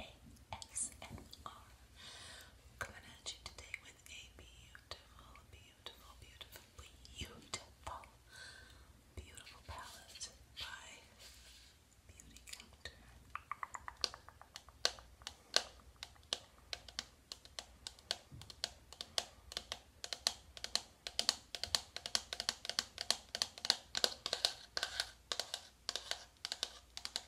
ASMR. Coming at you today with a beautiful, beautiful, beautiful, beautiful, beautiful palette by Beauty Counter. Now,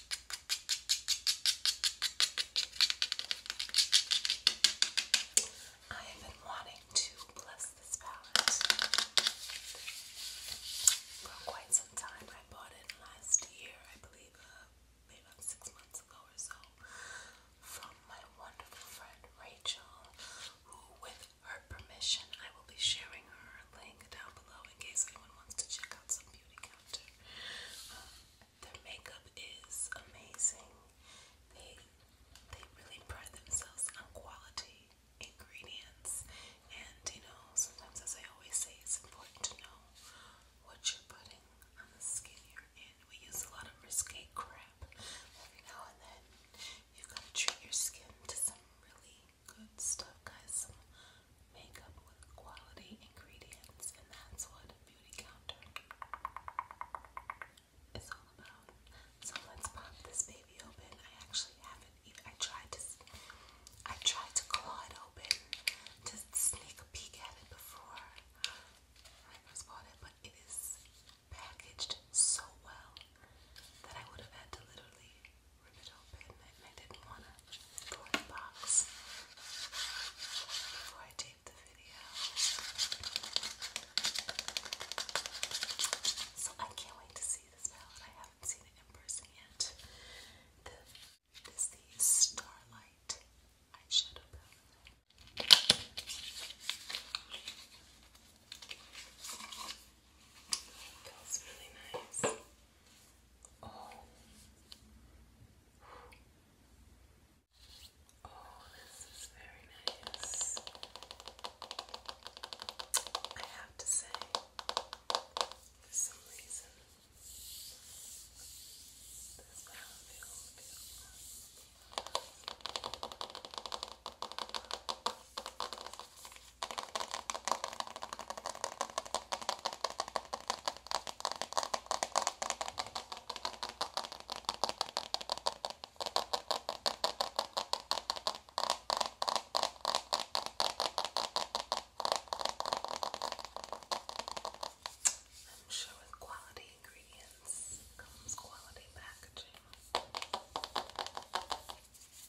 I have been wanting to bless this palette for quite some time. I bought it last year, I believe, uh, maybe six months ago or so, from my wonderful friend Rachel, who, with her permission, I will be sharing her link down below in case anyone wants to check out some beauty counter. Um, their makeup is amazing. They they really pride themselves on quality ingredients, and you know sometimes, as I always say, it's important to know what you're putting on the skin you're in. We use a lot of risque crap every now and then. you got to treat your skin to some really Good stuff, guys. makeup with quality ingredients, and that's what Beauty Counter is all about. So let's pop this baby open. I actually haven't I tried to. I tried to claw it open to sneak a peek at it before I first bought it, but it is packaged so well that I would have had to literally rip it open and I didn't want to go the box before I taped the video. So I can't wait to see this palette. I haven't seen it in person yet. this is the Starlight eyeshadow palette. Feels really nice. Oh. Oh, this is very nice. I have to say, for some reason, this palette feels beautiful. I'm sure with quality ingredients comes quality packaging.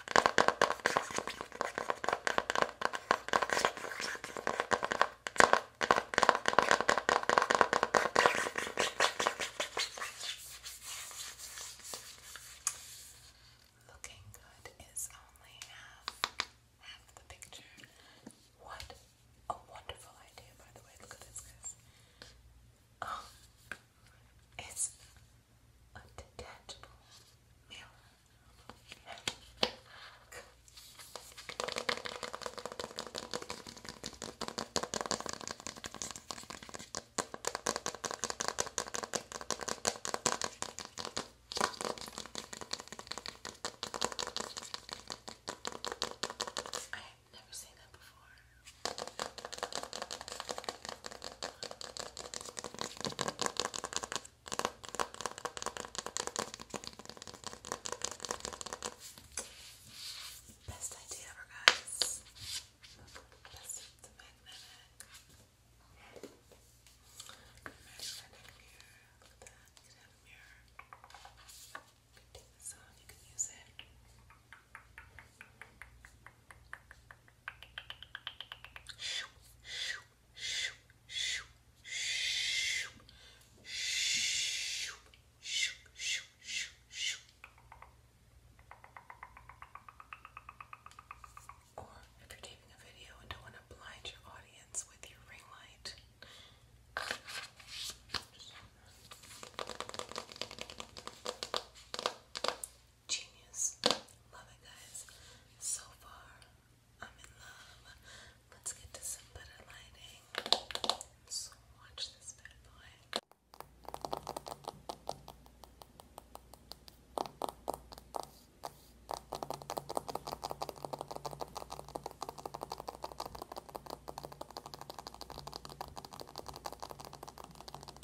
Looking good is only half half the picture. What a wonderful idea, by the way. Look at this, guys. Oh, it's a detachable mirror. I have never seen that before. Best idea ever, guys. Best of the magnetic. Magnetic mirror. Look at that. You can have a mirror. You can take this on. You can use it. Shoo, shoo, shoo, shoo, shoo, shoo, shoo, shoo, shoo, shoo. Or if you're taping a video and don't want to blind your audience with your ring light. Genius. Love it, guys. So far, I'm in love. Let's get to some better lighting. So, watch this bad boy.